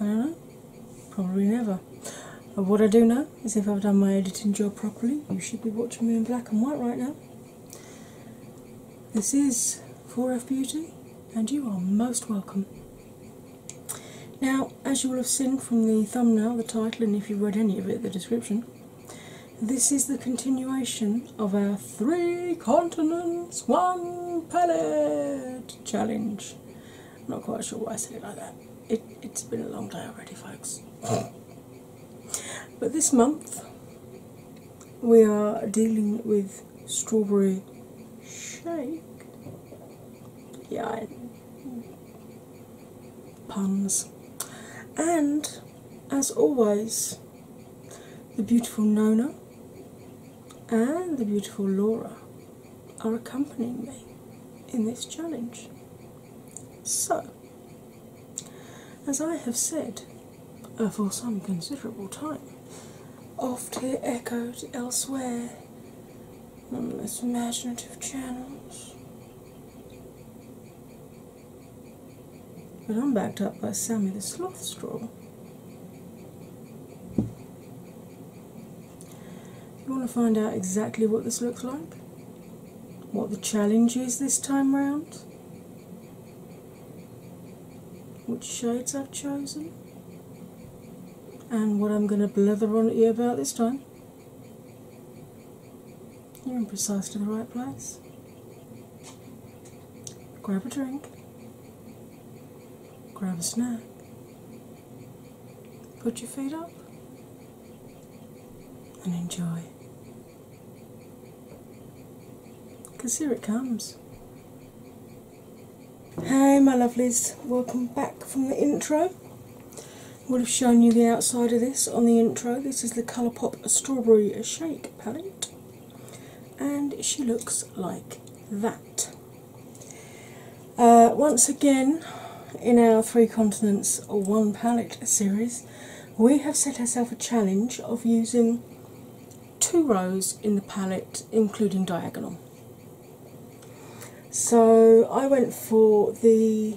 I don't know. Probably never. what I do know is if I've done my editing job properly, you should be watching me in black and white right now. This is 4F Beauty, and you are most welcome. Now, as you will have seen from the thumbnail, the title, and if you read any of it, the description, this is the continuation of our three continents, one palette Challenge. not quite sure why I said it like that. It, it's been a long day already, folks. but this month we are dealing with strawberry shake. Yeah, puns. And as always, the beautiful Nona and the beautiful Laura are accompanying me in this challenge. So, as I have said uh, for some considerable time, oft here echoed elsewhere on the most imaginative channels. But I'm backed up by Sammy the Sloth Straw, you want to find out exactly what this looks like, what the challenge is this time round, which shades I've chosen, and what I'm going to blather on at you about this time. You're in precisely the right place. Grab a drink grab a snack, put your feet up, and enjoy. Because here it comes. Hey, my lovelies, welcome back from the intro. we would have shown you the outside of this on the intro. This is the Colourpop Strawberry Shake palette, and she looks like that. Uh, once again, in our Three Continents One Palette series, we have set ourselves a challenge of using two rows in the palette, including diagonal. So I went for the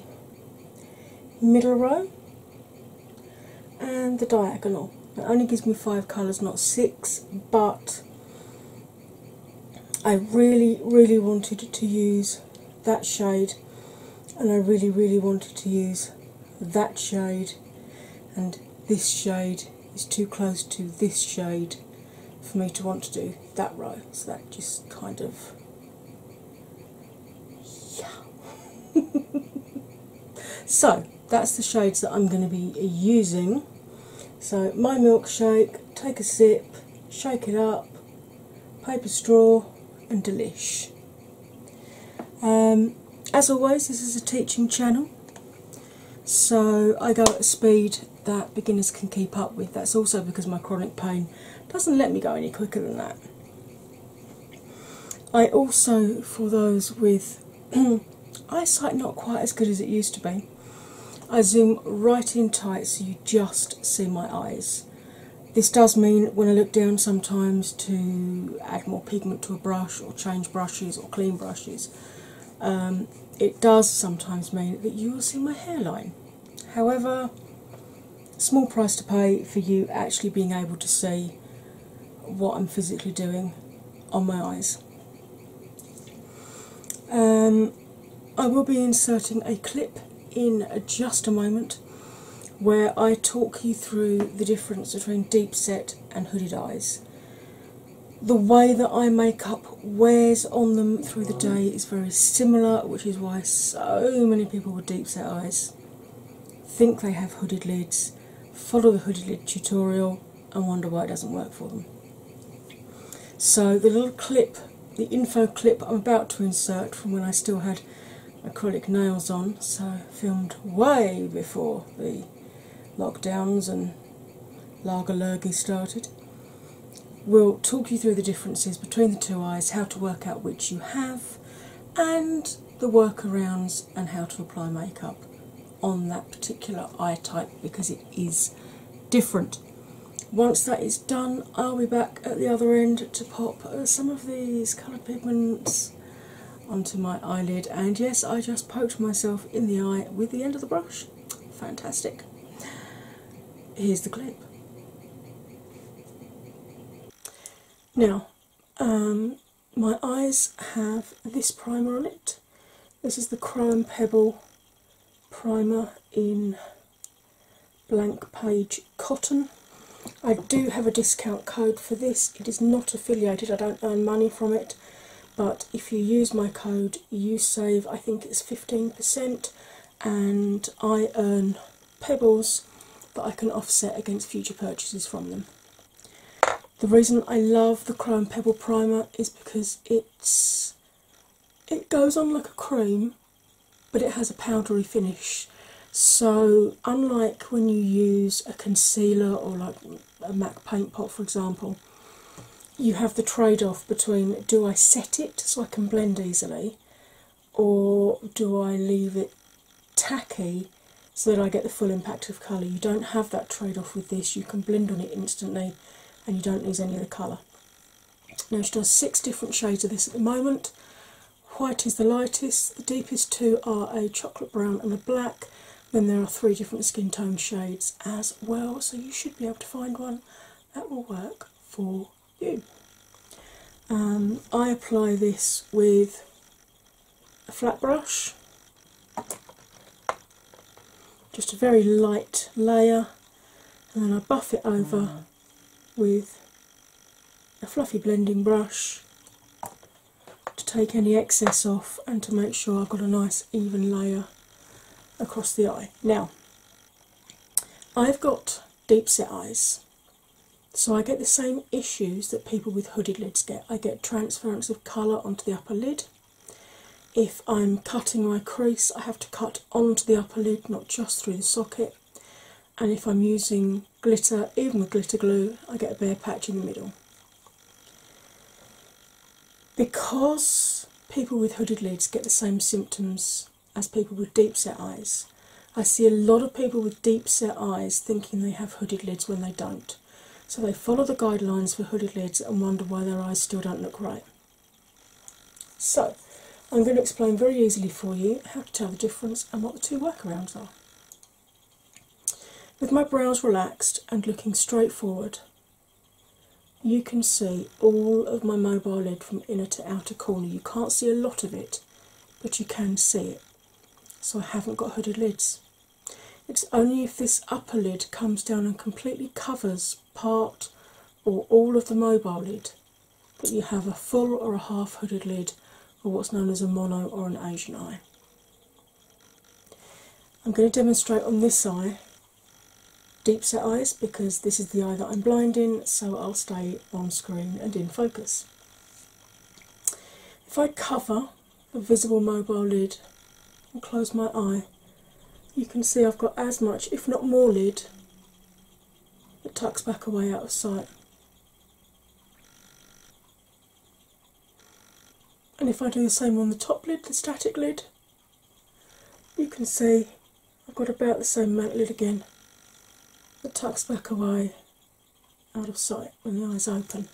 middle row and the diagonal. It only gives me five colours, not six, but I really, really wanted to use that shade, and I really, really wanted to use that shade, and this shade is too close to this shade for me to want to do that row. So that just kind of. Yeah. so that's the shades that I'm going to be using so, my milkshake, take a sip, shake it up, paper straw, and delish. Um, as always, this is a teaching channel, so I go at a speed that beginners can keep up with. That's also because my chronic pain doesn't let me go any quicker than that. I also, for those with eyesight not quite as good as it used to be. I zoom right in tight so you just see my eyes. This does mean when I look down sometimes to add more pigment to a brush or change brushes or clean brushes, um, it does sometimes mean that you will see my hairline. However, small price to pay for you actually being able to see what I'm physically doing on my eyes. Um, I will be inserting a clip in just a moment where I talk you through the difference between deep set and hooded eyes. The way that I make up wears on them through the day is very similar, which is why so many people with deep set eyes think they have hooded lids, follow the hooded lid tutorial, and wonder why it doesn't work for them. So, the little clip, the info clip I'm about to insert from when I still had acrylic nails on, so filmed way before the lockdowns and lagerlurgy started, we will talk you through the differences between the two eyes, how to work out which you have, and the workarounds and how to apply makeup on that particular eye type because it is different. Once that is done, I'll be back at the other end to pop uh, some of these coloured pigments onto my eyelid. And yes, I just poked myself in the eye with the end of the brush. Fantastic. Here's the clip. Now, um, my eyes have this primer on it. This is the Crime Pebble Primer in Blank Page Cotton. I do have a discount code for this. It is not affiliated, I don't earn money from it, but if you use my code, you save, I think it's 15%, and I earn pebbles that I can offset against future purchases from them. The reason I love the Chrome Pebble Primer is because it's it goes on like a cream but it has a powdery finish so unlike when you use a concealer or like a mac paint pot for example you have the trade-off between do i set it so i can blend easily or do i leave it tacky so that i get the full impact of colour you don't have that trade-off with this you can blend on it instantly and you don't lose any of the colour. Now she does six different shades of this at the moment. White is the lightest, the deepest two are a chocolate brown and a black. Then there are three different skin tone shades as well, so you should be able to find one that will work for you. Um, I apply this with a flat brush just a very light layer, and then I buff it over mm. with a fluffy blending brush to take any excess off and to make sure I've got a nice even layer across the eye. Now, I've got deep set eyes, so I get the same issues that people with hooded lids get. I get transference of colour onto the upper lid, if I'm cutting my crease, I have to cut onto the upper lid, not just through the socket. And if I'm using glitter, even with glitter glue, I get a bare patch in the middle. Because people with hooded lids get the same symptoms as people with deep set eyes, I see a lot of people with deep set eyes thinking they have hooded lids when they don't. So they follow the guidelines for hooded lids and wonder why their eyes still don't look right. So, I'm going to explain very easily for you how to tell the difference and what the two workarounds are. With my brows relaxed and looking straight forward, you can see all of my mobile lid from inner to outer corner. You can't see a lot of it, but you can see it. So, I haven't got hooded lids. It's only if this upper lid comes down and completely covers part, or all of the mobile lid, but you have a full or a half hooded lid, or what's known as a mono or an Asian eye. I'm going to demonstrate on this eye deep set eyes because this is the eye that I'm blinding, so I'll stay on screen and in focus. If I cover the visible mobile lid and close my eye, you can see I've got as much, if not more, lid that tucks back away out of sight. And if I do the same on the top lid, the static lid, you can see I've got about the same amount lid again that tucks back away out of sight when the eyes open.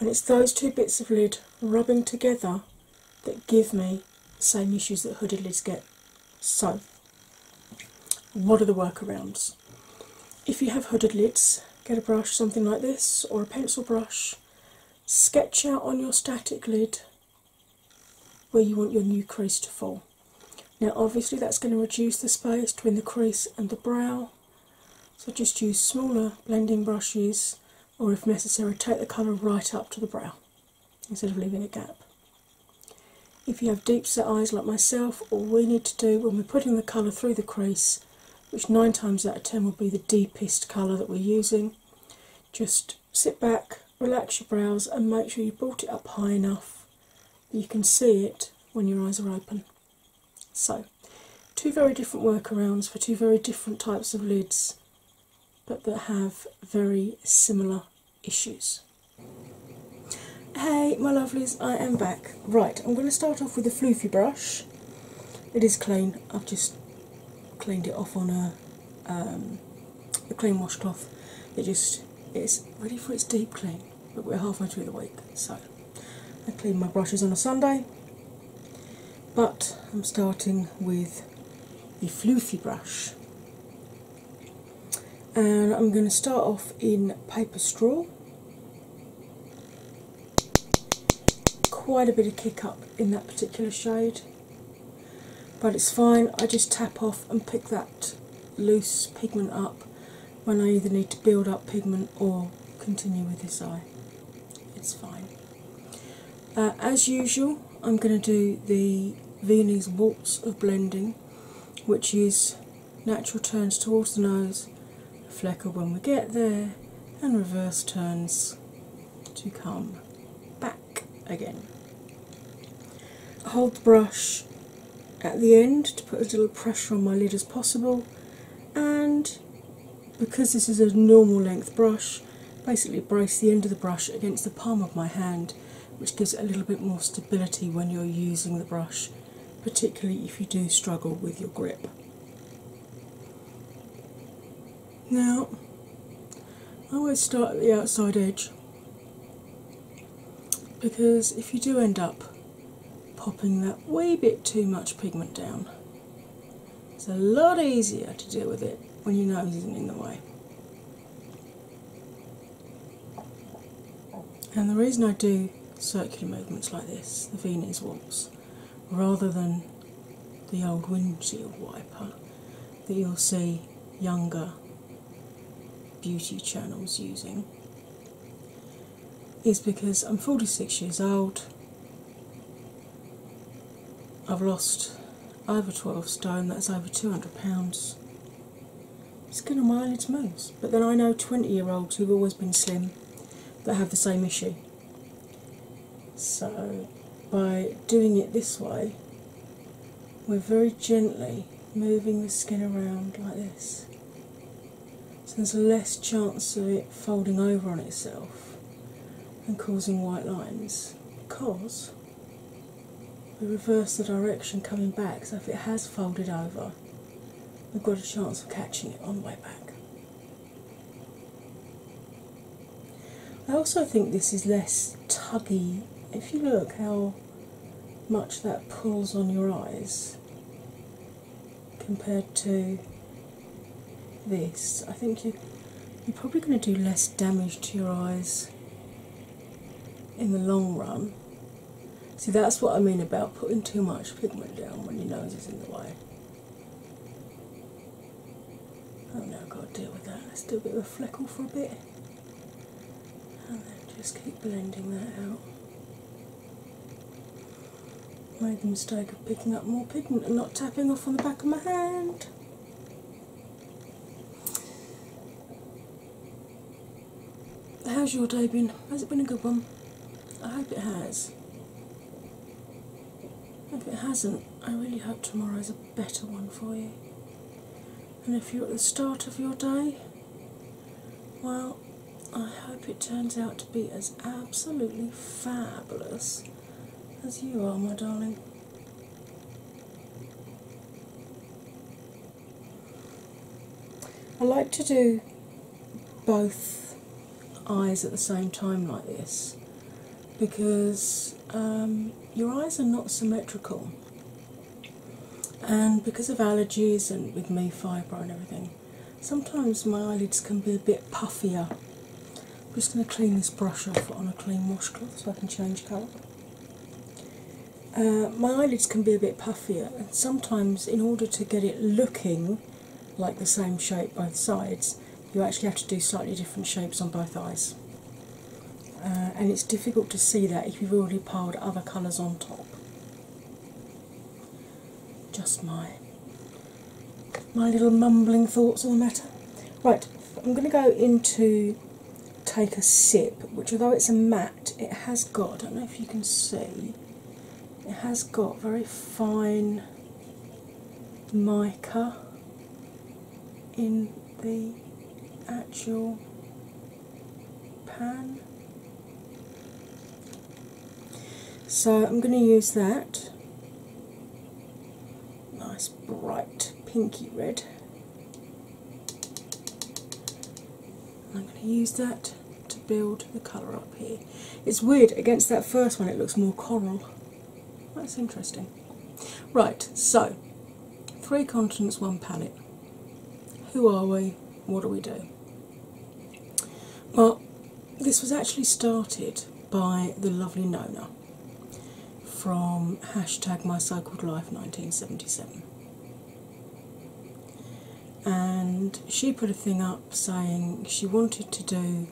And it's those two bits of lid rubbing together that give me the same issues that hooded lids get. So, what are the workarounds? If you have hooded lids, get a brush, something like this, or a pencil brush, sketch out on your static lid where you want your new crease to fall. Now, obviously, that's going to reduce the space between the crease and the brow, so just use smaller blending brushes, or if necessary, take the colour right up to the brow instead of leaving a gap. If you have deep set eyes like myself, all we need to do when we're putting the colour through the crease, which nine times out of ten will be the deepest colour that we're using, just sit back, relax your brows, and make sure you brought it up high enough that you can see it when your eyes are open. So, two very different workarounds for two very different types of lids but that have very similar issues. Hey, my lovelies, I am back. Right, I'm going to start off with a floofy brush. It is clean, I've just cleaned it off on a, um, a clean washcloth. It just is ready for its deep clean, but we're halfway through the week, so I clean my brushes on a Sunday. But I'm starting with the floofy brush. And I'm going to start off in paper straw. Quite a bit of kick up in that particular shade, but it's fine. I just tap off and pick that loose pigment up when I either need to build up pigment or continue with this eye. It's fine. Uh, as usual, I'm going to do the Venus Waltz of Blending, which is natural turns towards the nose, flecker when we get there, and reverse turns to come back again. Hold the brush at the end to put as little pressure on my lid as possible, and because this is a normal length brush, basically brace the end of the brush against the palm of my hand, which gives it a little bit more stability when you're using the brush, particularly if you do struggle with your grip. Now, I always start at the outside edge because if you do end up popping that wee bit too much pigment down, it's a lot easier to deal with it when your nose isn't in the way. And the reason I do circular movements like this, the Venus waltz, rather than the old windshield wiper that you'll see younger beauty channels using, is because I'm 46 years old. I've lost over 12 stone, that's over 200 pounds. Skin a my at most. But then I know 20 year olds who've always been slim that have the same issue. So by doing it this way, we're very gently moving the skin around like this. So there's a less chance of it folding over on itself and causing white lines because we reverse the direction coming back, so if it has folded over, we've got a chance of catching it on the way back. I also think this is less tuggy. If you look how much that pulls on your eyes compared to this, I think you, you're probably going to do less damage to your eyes in the long run. See, that's what I mean about putting too much pigment down when your nose is in the way. Oh no, I've got to deal with that. Let's do a bit of a fleckle for a bit. And then just keep blending that out. Made the mistake of picking up more pigment and not tapping off on the back of my hand. How's your day been? Has it been a good one? I hope it has. If it hasn't, I really hope tomorrow is a better one for you. And if you're at the start of your day, well, I hope it turns out to be as absolutely fabulous as you are, my darling. I like to do both eyes at the same time, like this, because um, your eyes are not symmetrical, and because of allergies and with me, fibro, and everything, sometimes my eyelids can be a bit puffier. I'm just going to clean this brush off on a clean washcloth so I can change colour. Uh, my eyelids can be a bit puffier, and sometimes, in order to get it looking like the same shape both sides, you actually have to do slightly different shapes on both eyes. Uh, and it's difficult to see that if you've already piled other colours on top. Just my my little mumbling thoughts on the matter. Right, I'm going to go into take a sip, which although it's a matte, it has got, I don't know if you can see, it has got very fine mica in the actual pan. So I'm going to use that nice bright pinky red I'm going to use that to build the colour up here. It's weird, against that first one, it looks more coral. That's interesting. Right, so three continents, one palette. Who are we? What do we do? Well, this was actually started by the lovely Nona from hashtag my cycled life 1977 and she put a thing up saying she wanted to do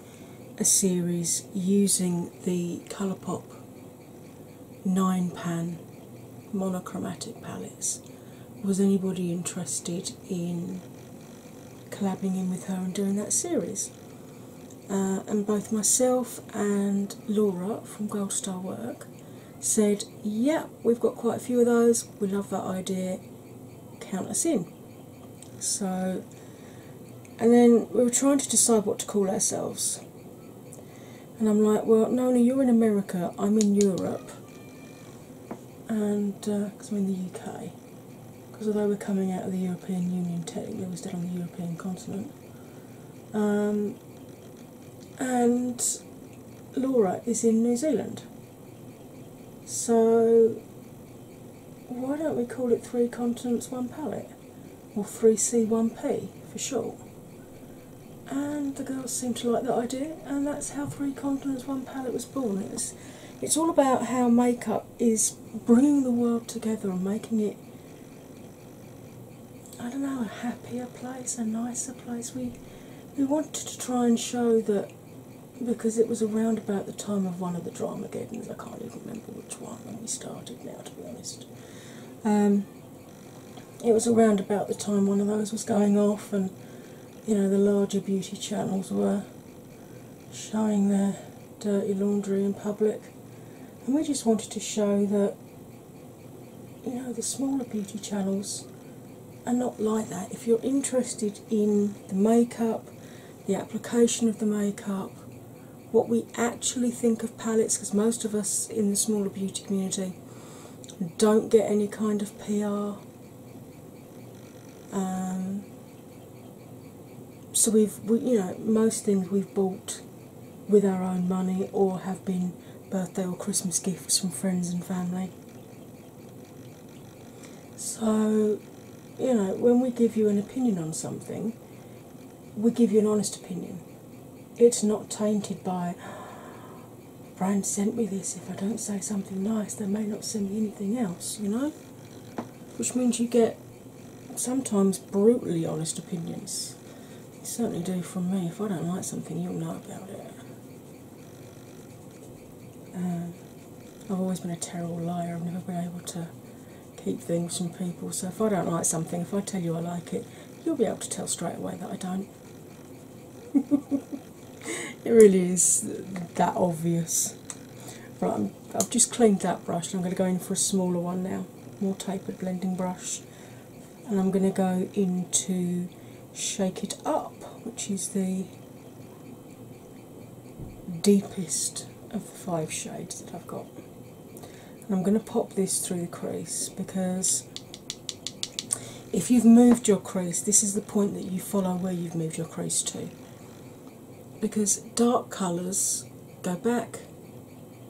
a series using the colourpop 9 pan monochromatic palettes was anybody interested in collabing in with her and doing that series uh, and both myself and Laura from Gold Star Work said, Yeah, we've got quite a few of those, we love that idea, count us in. So, and then we were trying to decide what to call ourselves. And I'm like, Well, Nona, you're in America, I'm in Europe, and because uh, I'm in the UK. Because although we're coming out of the European Union, technically we're still on the European continent. Um, and Laura is in New Zealand. So why don't we call it Three Continents One Palette? Or 3C1P for short. And the girls seem to like that idea, and that's how Three Continents One Palette was born. It's, it's all about how makeup is bringing the world together and making it I don't know, a happier place, a nicer place. We we wanted to try and show that because it was around about the time of one of the drama games, I can't even remember which one when we started now to be honest. Um, it was around about the time one of those was going off and you know the larger beauty channels were showing their dirty laundry in public and we just wanted to show that you know the smaller beauty channels are not like that. If you're interested in the makeup, the application of the makeup, what we actually think of palettes, because most of us in the smaller beauty community don't get any kind of PR. Um, so we've, you know, most things we've bought with our own money or have been birthday or Christmas gifts from friends and family. So, you know, when we give you an opinion on something, we give you an honest opinion. It's not tainted by, Brian sent me this, if I don't say something nice, they may not send me anything else, you know? Which means you get sometimes brutally honest opinions. You certainly do from me. If I don't like something, you'll know about it. Um, I've always been a terrible liar. I've never been able to keep things from people. So if I don't like something, if I tell you I like it, you'll be able to tell straight away that I don't. it really is that obvious. Right, i have just cleaned that brush I'm going to go in for a smaller one now, more tapered blending brush and I'm going to go into Shake It Up, which is the deepest of the five shades that I've got. And I'm going to pop this through the crease because if you've moved your crease, this is the point that you follow where you've moved your crease to. Because dark colours go back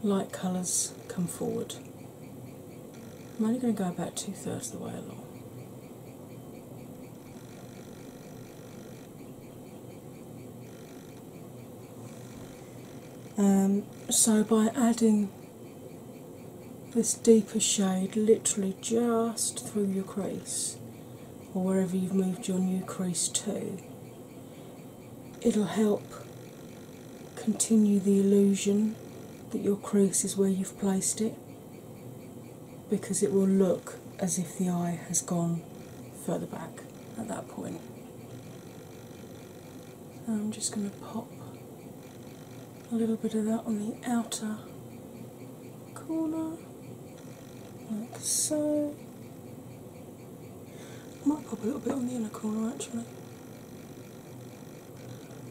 light colours come forward. I'm only going to go about two thirds of the way along. Um, so, by adding this deeper shade literally just through your crease or wherever you've moved your new crease to, it'll help continue the illusion that your crease is where you've placed it because it will look as if the eye has gone further back at that point. I'm just going to pop a little bit of that on the outer corner, like so. I might pop a little bit on the inner corner actually.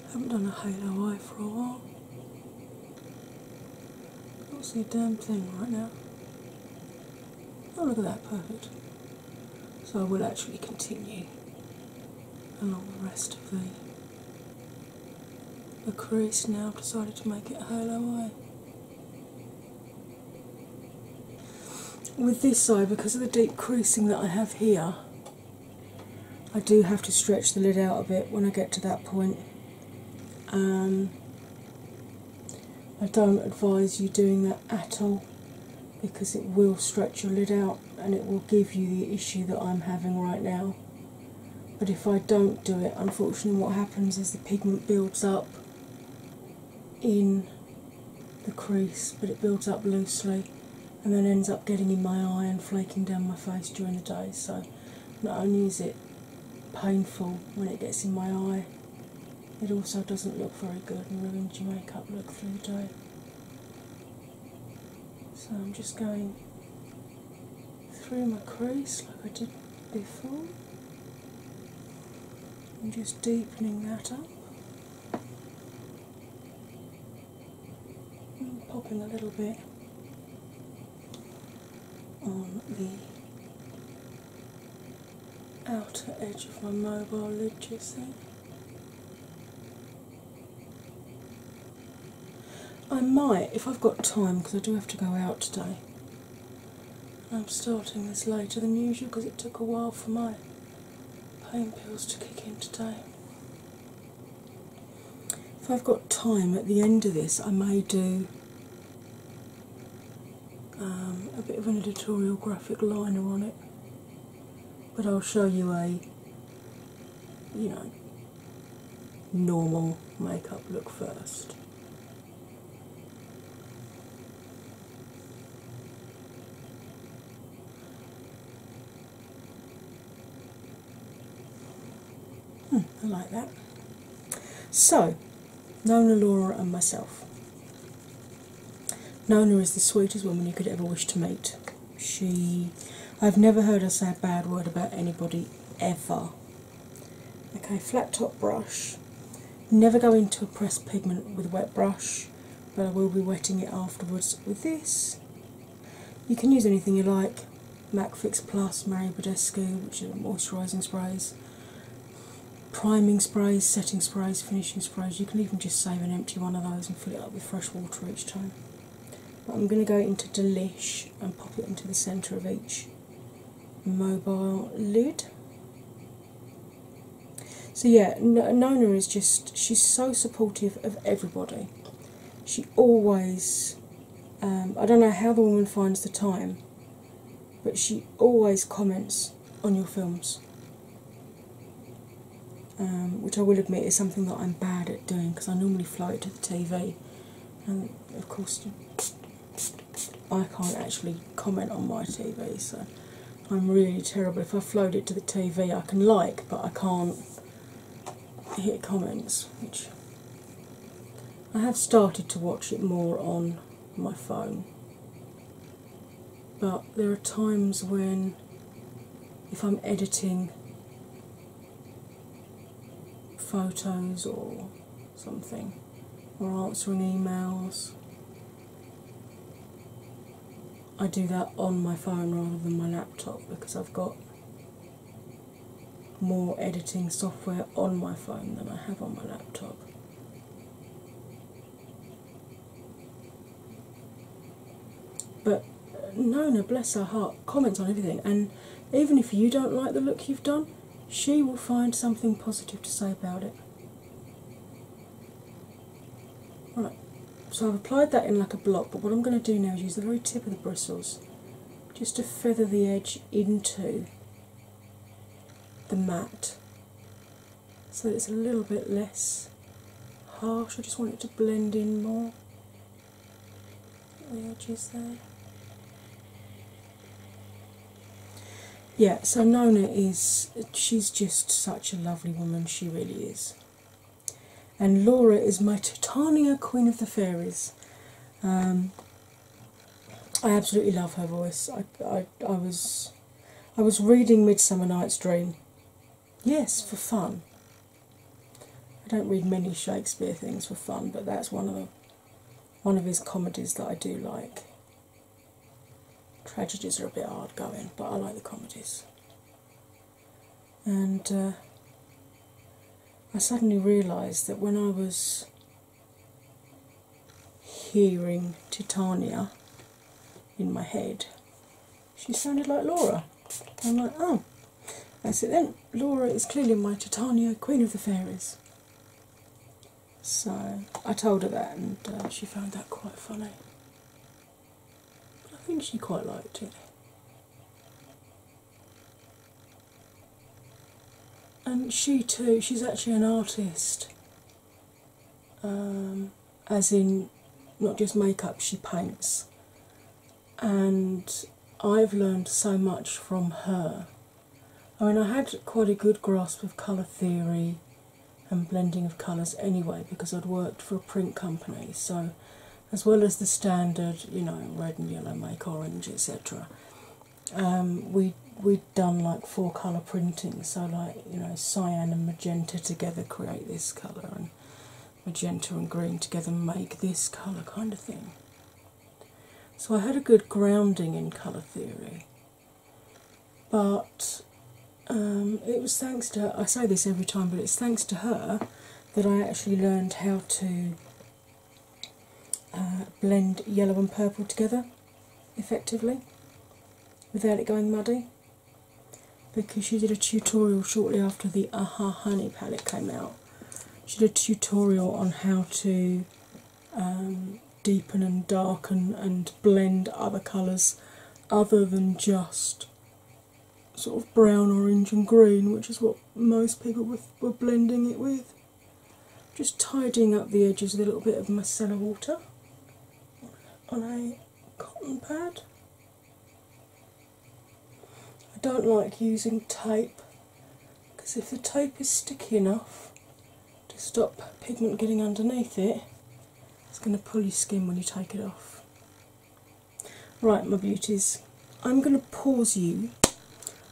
I haven't done a halo eye for a while. Can't see a damn thing right now. Oh look at that, perfect. So I will actually continue along the rest of the the crease now I've decided to make it a halo eye. With this eye, because of the deep creasing that I have here, I do have to stretch the lid out a bit when I get to that point. Um, I don't advise you doing that at all because it will stretch your lid out and it will give you the issue that I'm having right now. But if I don't do it, unfortunately, what happens is the pigment builds up in the crease, but it builds up loosely and then ends up getting in my eye and flaking down my face during the day. So, not only is it painful when it gets in my eye, it also doesn't look very good and ruins your makeup look through the day. So, I'm just going through my crease like I did before. and just deepening that up. And popping a little bit on the outer edge of my mobile lid, I might, if I've got time, because I do have to go out today. I'm starting this later than usual because it took a while for my Paying pills to kick in today. If I've got time at the end of this, I may do um, a bit of an editorial graphic liner on it, but I'll show you a you know normal makeup look first. Hmm, I like that. So, Nona, Laura, and myself. Nona is the sweetest woman you could ever wish to meet. She, I've never heard her say a bad word about anybody ever. Okay, flat top brush. Never go into a pressed pigment with a wet brush but I will be wetting it afterwards with this. You can use anything you like MAC Fix Plus, Mary Badescu, which are moisturising sprays, priming sprays, setting sprays, finishing sprays. You can even just save an empty one of those and fill it up with fresh water each time. But I'm going to go into Delish and pop it into the centre of each mobile lid. So yeah, Nona is just she's so supportive of everybody. She always um, I don't know how the woman finds the time, but she always comments on your films. Um, which I will admit is something that I'm bad at doing because I normally fly it to the TV, and of course I can't actually comment on my TV, so I'm really terrible. If I float it to the TV, I can like, but I can't hit comments. Which I have started to watch it more on my phone, but there are times when, if I'm editing photos or something, or answering emails, I do that on my phone rather than my laptop because I've got more editing software on my phone than I have on my laptop. But Nona, bless her heart, comments on everything, and even if you don't like the look you've done, she will find something positive to say about it. Right, so I've applied that in like a block, but what I'm going to do now is use the very tip of the bristles just to feather the edge into the mat so it's a little bit less harsh. I just want it to blend in more. The edges there. Yeah, so Nona is, she's just such a lovely woman, she really is and Laura is my Titania Queen of the Fairies. Um, I absolutely love her voice. I, I, I was I was reading Midsummer Night's Dream. Yes, for fun. I don't read many Shakespeare things for fun, but that's one of the, one of his comedies that I do like. Tragedies are a bit hard going, but I like the comedies and uh, I suddenly realised that when I was hearing Titania in my head, she sounded like Laura. I'm like, oh, that's it then. Laura is clearly my Titania, Queen of the Fairies. So I told her that, and uh, she found that quite funny. I think she quite liked it. And she too, she's actually an artist. Um, as in, not just makeup, she paints. And I've learned so much from her. I mean, I had quite a good grasp of colour theory and blending of colours anyway because I'd worked for a print company. So, as well as the standard, you know, red and yellow make orange, etc., um, we we'd done like four colour printing. So, like you know, cyan and magenta together create this colour, and magenta and green together make this colour kind of thing. So I had a good grounding in colour theory, but um, it was thanks to I say this every time, but it's thanks to her that I actually learned how to uh, blend yellow and purple together effectively without it going muddy because she did a tutorial shortly after the Aha Honey palette came out. She did a tutorial on how to um, deepen and darken and blend other colours other than just sort of brown, orange, and green, which is what most people were, blending it with. Just tidying up the edges with a little bit of micellar water on a cotton pad. I don't like using tape because if the tape is sticky enough to stop pigment getting underneath it, it's going to pull your skin when you take it off. Right, my beauties, I'm going to pause you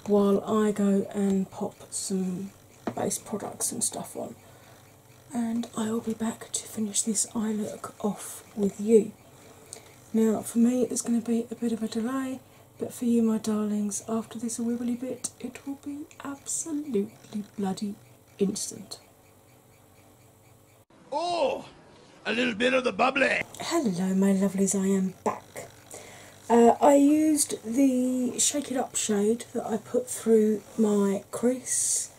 while I go and pop some base products and stuff on, and I will be back to finish this eye look off with you. Now, for me, it's going to be a bit of a delay, but for you, my darlings, after this wibbly bit, it will be absolutely bloody instant. Oh, a little bit of the bubbly. Hello, my lovelies, I am back. Uh, I used the Shake It Up shade that I put through my crease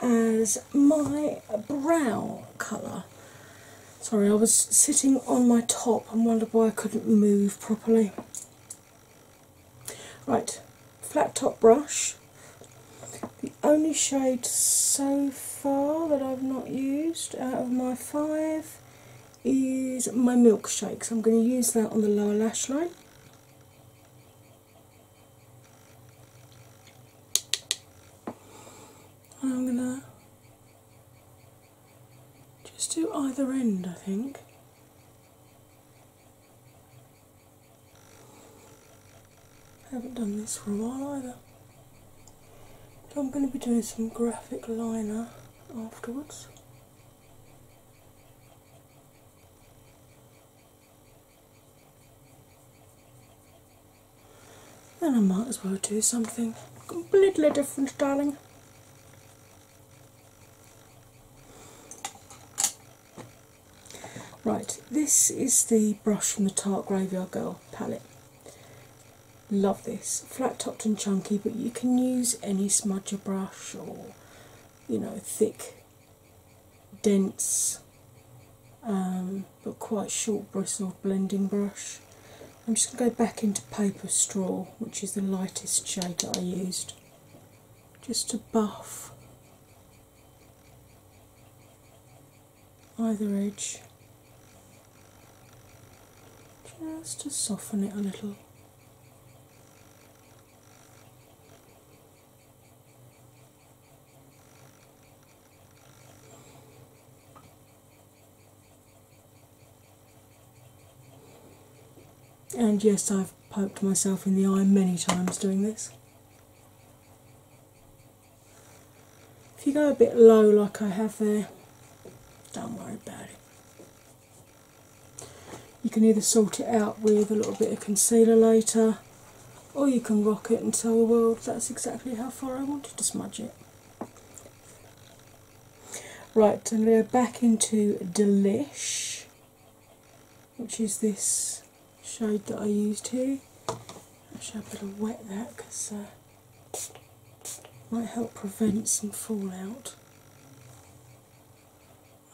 as my brow colour. Sorry, I was sitting on my top and wondered why I couldn't move properly. Right, flat top brush the only shade so far that I've not used out of my five is my milkshake, so I'm going to use that on the lower lash line. I'm going to just do either end, I think. I haven't done this for a while either. So I'm going to be doing some graphic liner afterwards. Then I might as well do something completely different, darling. Right, this is the brush from the Tart Graveyard Girl palette. Love this. Flat topped and chunky, but you can use any smudger brush or, you know, thick, dense, um, but quite short bristled blending brush. I'm just going to go back into Paper Straw, which is the lightest shade that I used, just to buff either edge just to soften it a little. And yes, I've poked myself in the eye many times doing this. If you go a bit low, like I have there, don't worry about it. You can either sort it out with a little bit of concealer later, or you can rock it and tell the world that's exactly how far I wanted to smudge it. Right, I'm going to go back into Delish, which is this shade that I used here. Actually, I better wet that because uh, might help prevent some fallout.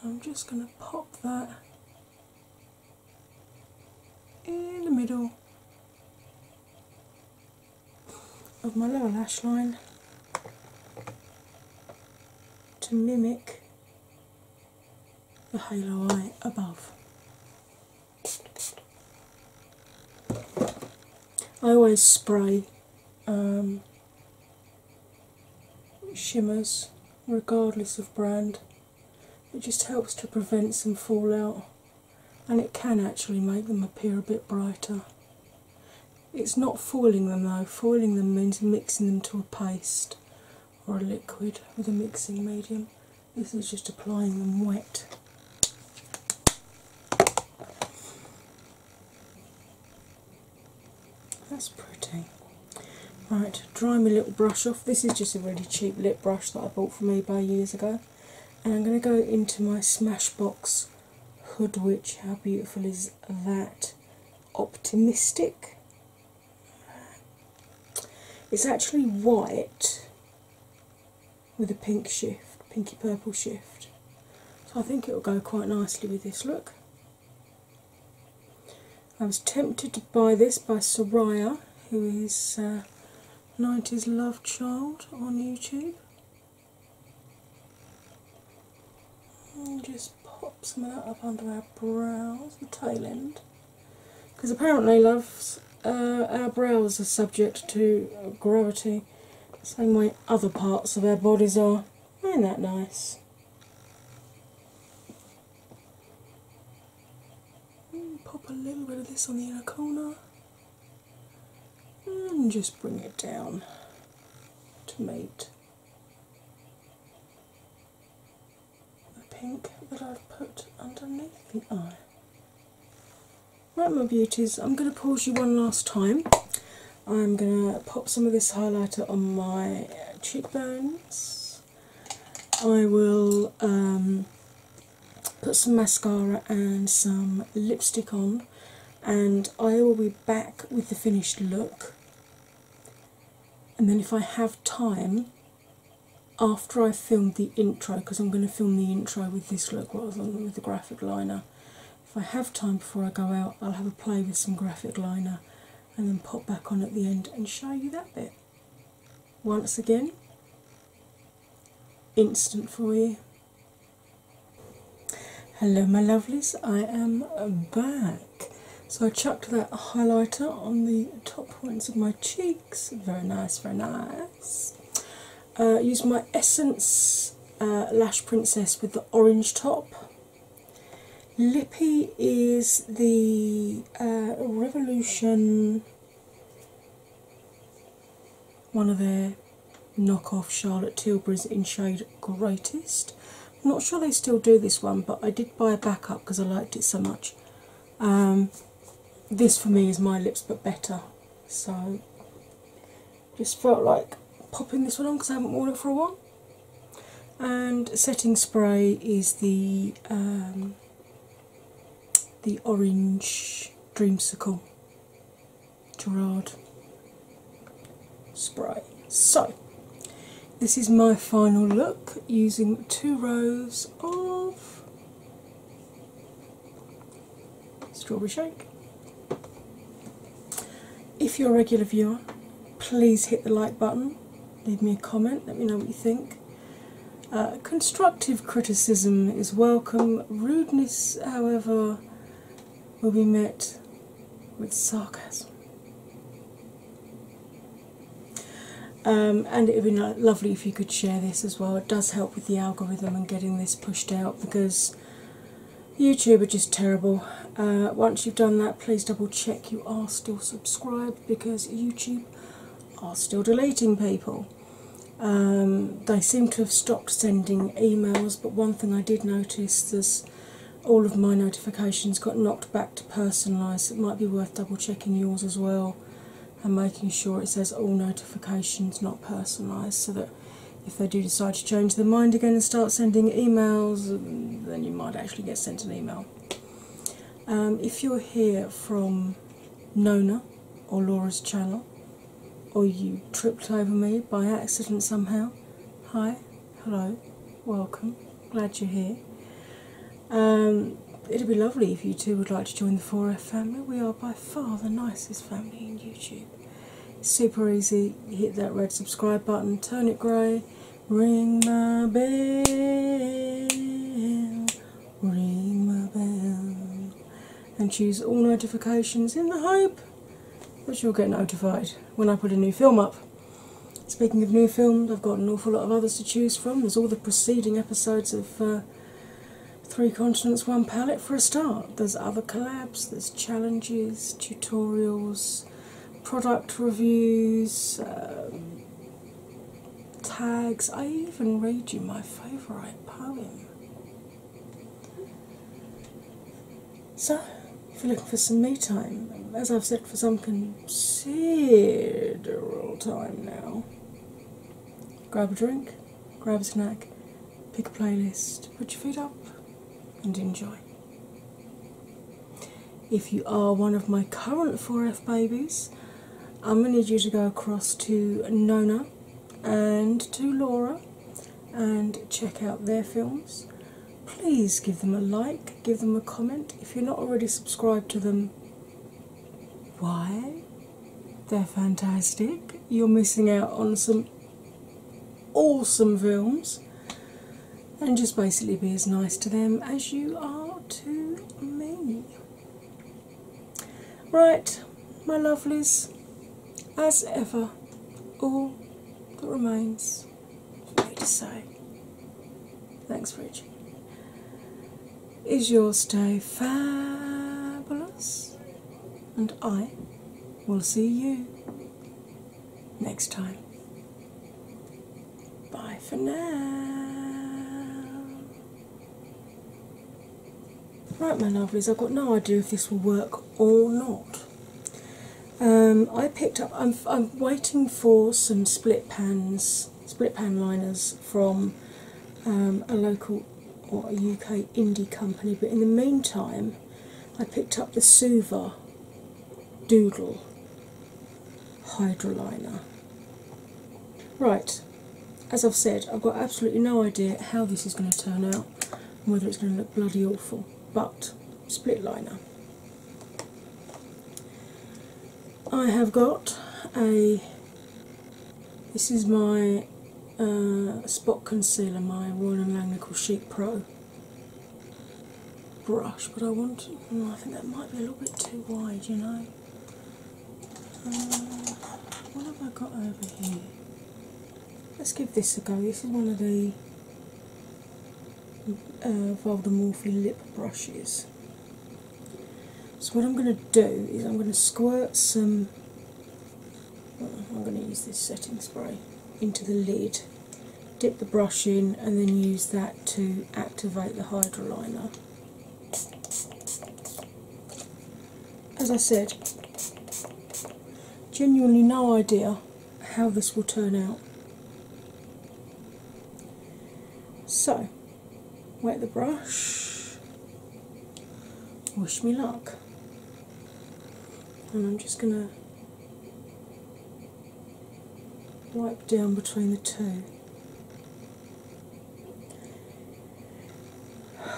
I'm just going to pop that in the middle of my lower lash line to mimic the halo eye above. I always spray um, shimmers regardless of brand. It just helps to prevent some fallout and it can actually make them appear a bit brighter. It's not foiling them though, foiling them means mixing them to a paste or a liquid with a mixing medium. This is just applying them wet. That's pretty. Right, dry my little brush off. This is just a really cheap lip brush that I bought from eBay years ago. And I'm going to go into my Smashbox Hood Witch. How beautiful is that? Optimistic. It's actually white with a pink shift, pinky purple shift. So I think it will go quite nicely with this look. I was tempted to buy this by Soraya, who is 90s uh, Love Child on YouTube. And just pop some of that up under our brows, the tail end. Because apparently, loves, uh, our brows are subject to gravity the same way other parts of our bodies are. Ain't that nice? Hmm, pop a little bit of this on the inner corner and just bring it down to meet pink that I've put underneath the eye. Right, my beauties, I'm going to pause you one last time. I'm going to pop some of this highlighter on my cheekbones. I will um, put some mascara and some lipstick on, and I will be back with the finished look. And then, if I have time, after I filmed the intro, because I'm going to film the intro with this look rather than with the graphic liner. If I have time before I go out, I'll have a play with some graphic liner and then pop back on at the end and show you that bit. Once again, instant for you. Hello, my lovelies, I am back. So I chucked that highlighter on the top points of my cheeks. Very nice, very nice. Uh, use my Essence uh, Lash Princess with the orange top. Lippy is the uh, Revolution, one of their knockoff Charlotte Tilbury's in shade Greatest. I'm not sure they still do this one, but I did buy a backup because I liked it so much. Um, this for me is my lips but better. So just felt like popping this one on because I haven't worn it for a while. And setting spray is the um, the orange dreamsicle Gerard spray. So this is my final look using two rows of strawberry shake. If you're a regular viewer, please hit the like button, leave me a comment, let me know what you think. Uh, constructive criticism is welcome, rudeness, however, will be met with sarcasm. Um, and it would be lovely if you could share this as well. It does help with the algorithm and getting this pushed out because YouTube are just terrible. Uh, once you've done that, please double check you are still subscribed because YouTube are still deleting people. Um, they seem to have stopped sending emails, but one thing I did notice is all of my notifications got knocked back to personalised. It might be worth double checking yours as well and making sure it says all notifications not personalised so that if they do decide to change their mind again and start sending emails, then you might actually get sent an email. Um, if you're here from Nona or Laura's channel, or you tripped over me by accident somehow, hi, hello, welcome, glad you're here. Um, it'd be lovely if you two would like to join the 4F family. We are by far the nicest family in YouTube. super easy. hit that red subscribe button, turn it grey, ring my bell, ring my bell, and choose all notifications in the hope that you'll get notified when I put a new film up. Speaking of new films, I've got an awful lot of others to choose from. There's all the preceding episodes of uh, Three Continents, One Palette for a start. There's other collabs, there's challenges, tutorials, product reviews, um, tags. I even read you my favourite poem. So, if you're looking for some me time, as I've said for some considerable time now, grab a drink grab a snack, pick a playlist, put your feet up, and enjoy. If you are one of my current 4F babies, I'm going to need you to go across to Nona and to Laura and check out their films. Please give them a like, give them a comment. If you're not already subscribed to them, why? They're fantastic. You're missing out on some awesome films. And just basically be as nice to them as you are to me. Right, my lovelies, as ever, all that remains for me to say. Thanks for watching is your stay fabulous, and I will see you next time. Bye for now. Right, my lovelies, I've got no idea if this will work or not. Um, I picked up. I'm waiting for some split pans, split pan liners from um, a local or a UK indie company, but in the meantime, I picked up the Suva Doodle Hydroliner. Right, as I've said, I've got absolutely no idea how this is going to turn out whether it's going to look bloody awful, but split liner. I have got a this is my uh, spot concealer, my Royal and Sheet Pro brush, but I want. Oh, I think that might be a little bit too wide, you know. Uh, what have I got over here? Let's give this a go. This is one of the uh, Voldemorphy lip brushes. So what I'm going to do is I'm going to squirt some Oh, I'm going to use this setting spray into the lid, dip the brush in, and then use that to activate the hydroliner. As I said, genuinely no idea how this will turn out. So, wet the brush, wish me luck. And I'm just going to wipe down between the two.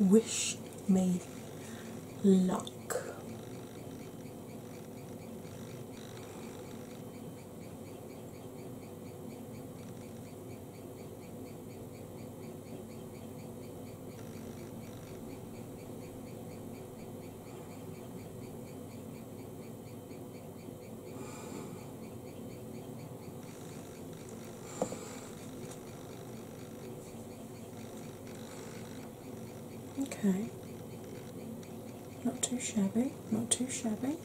Wish me luck. Okay, not too shabby, not too shabby.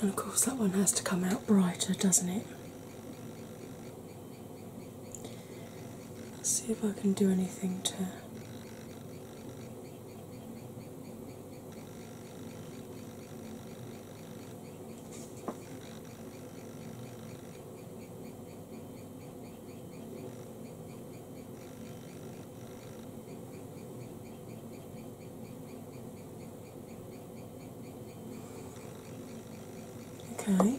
And of course, that one has to come out brighter, doesn't it? Let's see if I can do anything to Okay.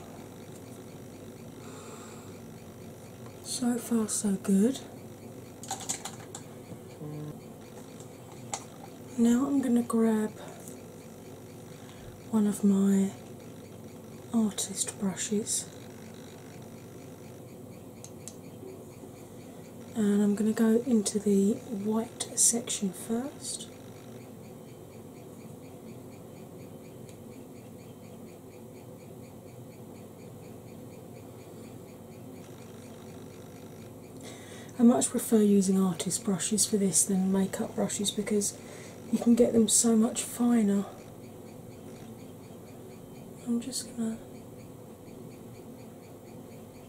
So far, so good. Now I'm going to grab one of my artist brushes and I'm going to go into the white section first. I much prefer using artist brushes for this than makeup brushes because you can get them so much finer. I'm just going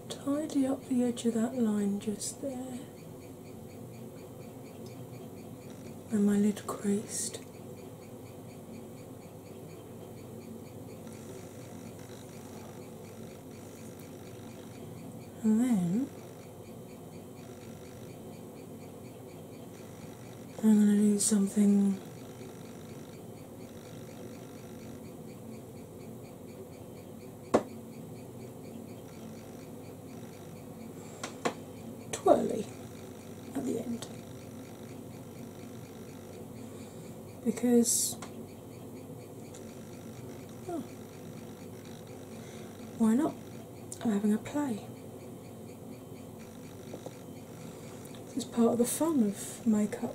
to tidy up the edge of that line just there. And my lid creased. And then I'm going to do something twirly at the end because oh, why not? I'm having a play. It's part of the fun of makeup.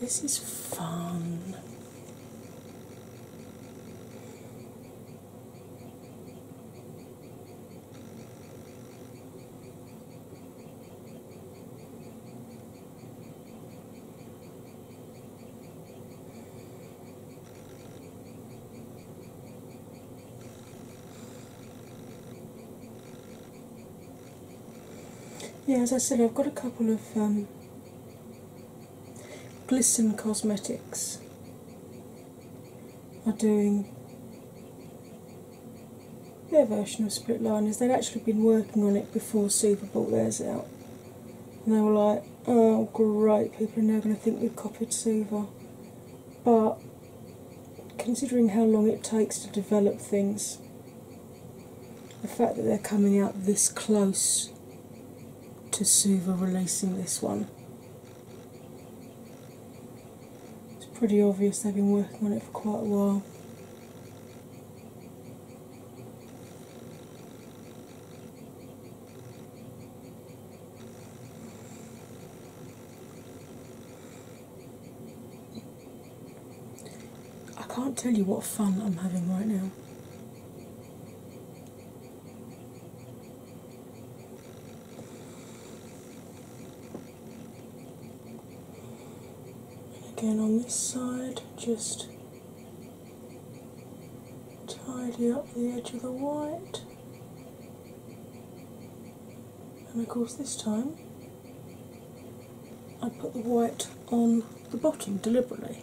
This is fun. Yeah, as I said, I've got a couple of um, glisten cosmetics are doing their version of split liners. They'd actually been working on it before Suva bought theirs out. And they were like, oh great, people are now going to think we've copied Suva. But considering how long it takes to develop things, the fact that they're coming out this close to Suva releasing this one it's pretty obvious they have been working on it for quite a while. I can't tell you what fun I'm having right now. Again on this side, just tidy up the edge of the white. And of course, this time I put the white on the bottom deliberately.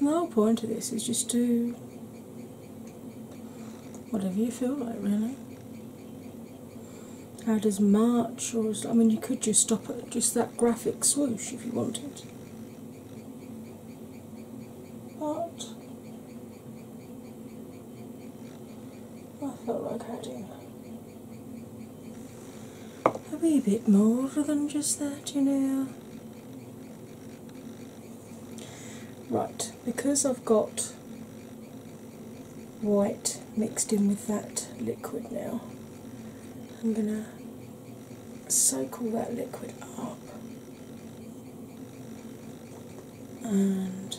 the whole point of this is just do whatever you feel like, really. How does March or I mean, you could just stop at just that graphic swoosh if you wanted. But I felt like adding a wee bit more than just that, you know. Right, because I've got white mixed in with that liquid now, I'm going to soak all that liquid up and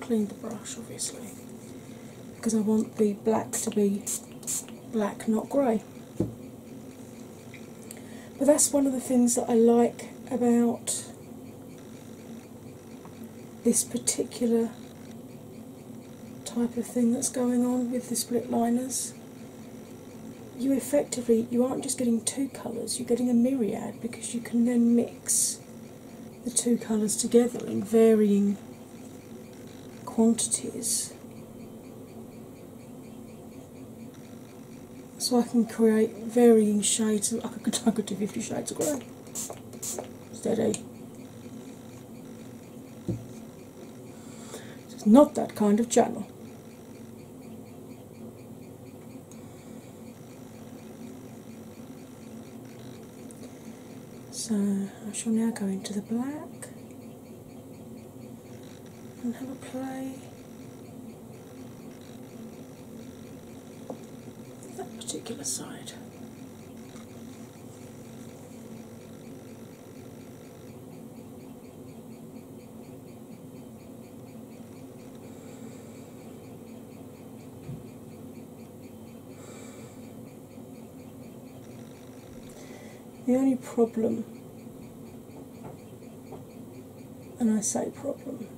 clean the brush obviously because I want the blacks to be black, not grey. But that's one of the things that I like about this particular type of thing that's going on with the split liners. You effectively you aren't just getting two colours, you're getting a myriad because you can then mix the two colours together in varying quantities so I can create varying shades I could do 50 shades of grey. Steady. It's not that kind of channel. So I shall now go into the black and have a play. That particular side. The only problem, and I say problem,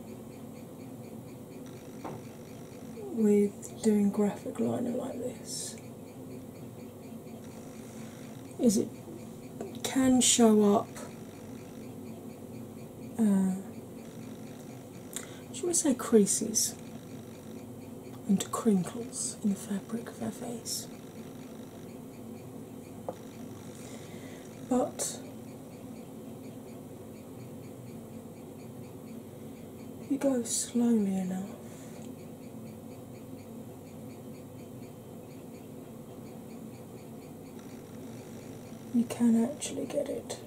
with doing graphic liner like this is it can show up, uh, should we say creases? and crinkles in the fabric of her face. But you go slowly enough, you can actually get it.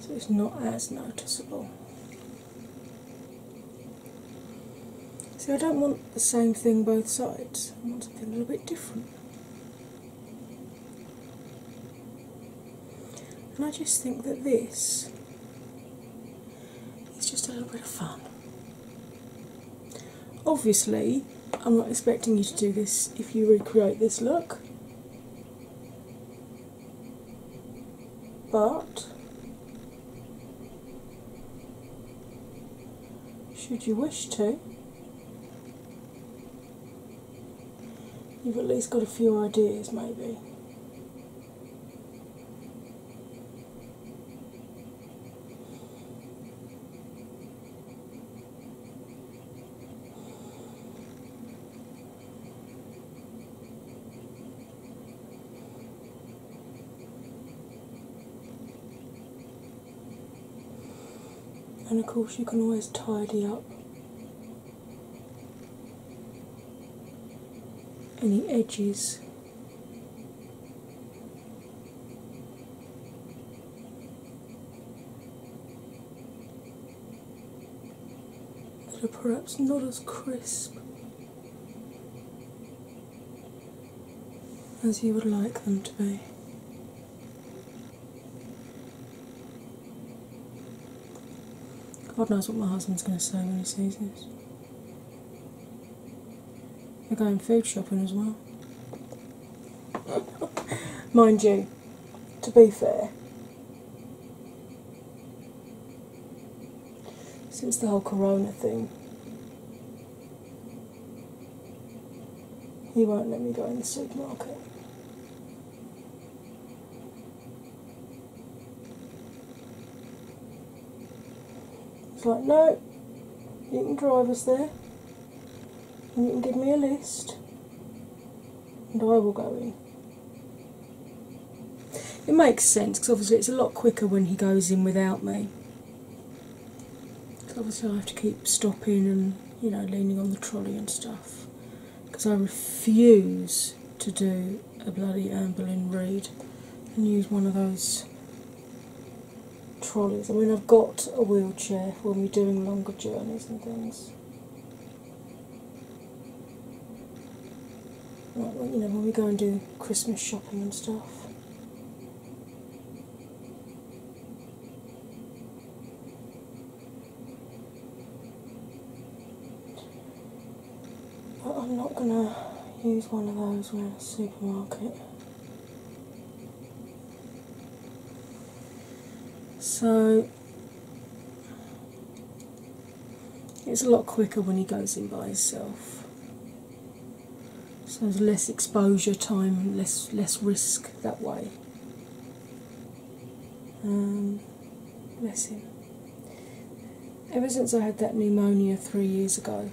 So it's not as noticeable. See, I don't want the same thing both sides, I want something a little bit different. And I just think that this is just a little bit of fun. Obviously, I'm not expecting you to do this if you recreate this look. But should you wish to, you've at least got a few ideas maybe. And of course, you can always tidy up any edges that are perhaps not as crisp as you would like them to be. God knows what my husband's going to say when he sees this. We're going food shopping as well. Mind you, to be fair, since the whole corona thing. He won't let me go in the supermarket. It's like, no, you can drive us there, you can give me a list, and I will go in. It makes sense because obviously it's a lot quicker when he goes in without me. Because obviously I have to keep stopping and you know leaning on the trolley and stuff. Because I refuse to do a bloody ambulin Boleyn and use one of those trolleys. I mean, I've got a wheelchair when we're doing longer journeys and things you know, when we go and do Christmas shopping and stuff. I'm not gonna use one of those when in a supermarket. So it's a lot quicker when he goes in by himself. So there's less exposure time, less less risk that way. Um, Ever since I had that pneumonia three years ago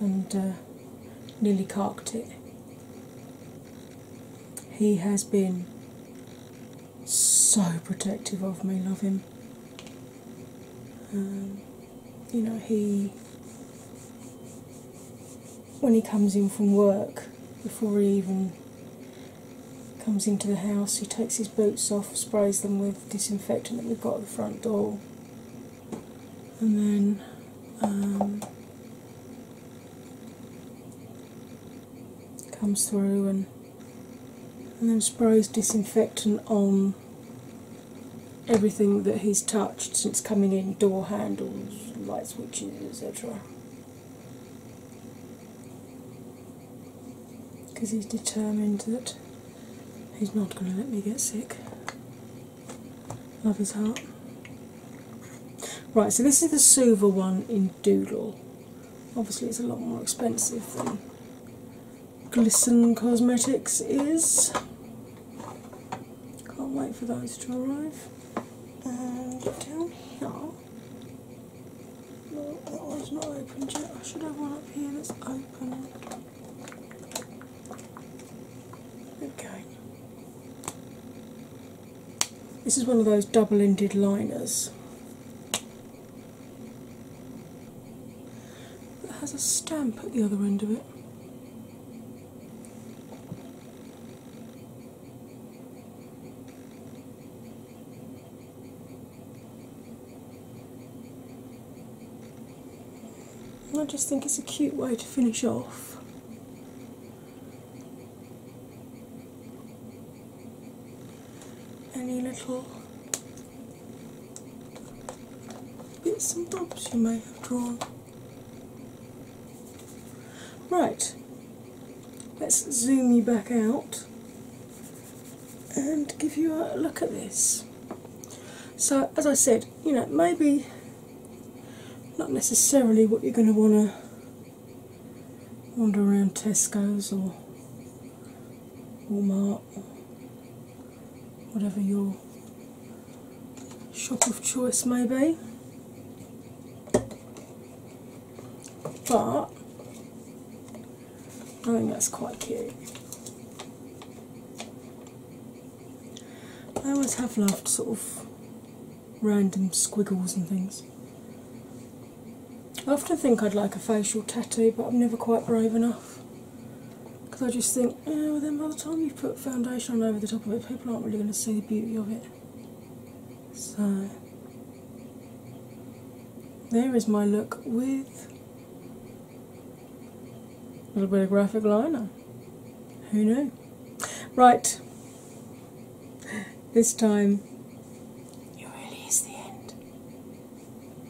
and uh, nearly carked it, he has been so protective of me, love him. Um, you know, he, when he comes in from work, before he even comes into the house, he takes his boots off, sprays them with disinfectant that we've got at the front door, and then um, comes through and and then sprays disinfectant on everything that he's touched since coming in door handles, light switches, etc. Because he's determined that he's not going to let me get sick. Love his heart. Right, so this is the Suva one in Doodle. Obviously, it's a lot more expensive than Glisten Cosmetics is. Can't wait for those to arrive. down here, no, that one's not opened yet. I should have one up here that's open. Okay. This is one of those double ended liners that has a stamp at the other end of it. I just think it's a cute way to finish off any little bits and bobs you may have drawn. Right, let's zoom you back out and give you a look at this. So, as I said, you know, maybe not necessarily what you're going to want to wander around Tesco's or Walmart whatever your shop of choice may be. But I think that's quite cute. I always have loved sort of random squiggles and things. I often think I'd like a facial tattoo, but I'm never quite brave enough. Because I just think, yeah, then by the time you put foundation on over the top of it, people aren't really going to see the beauty of it. So, there is my look with a little bit of graphic liner. Who knew? Right, this time it really is the end.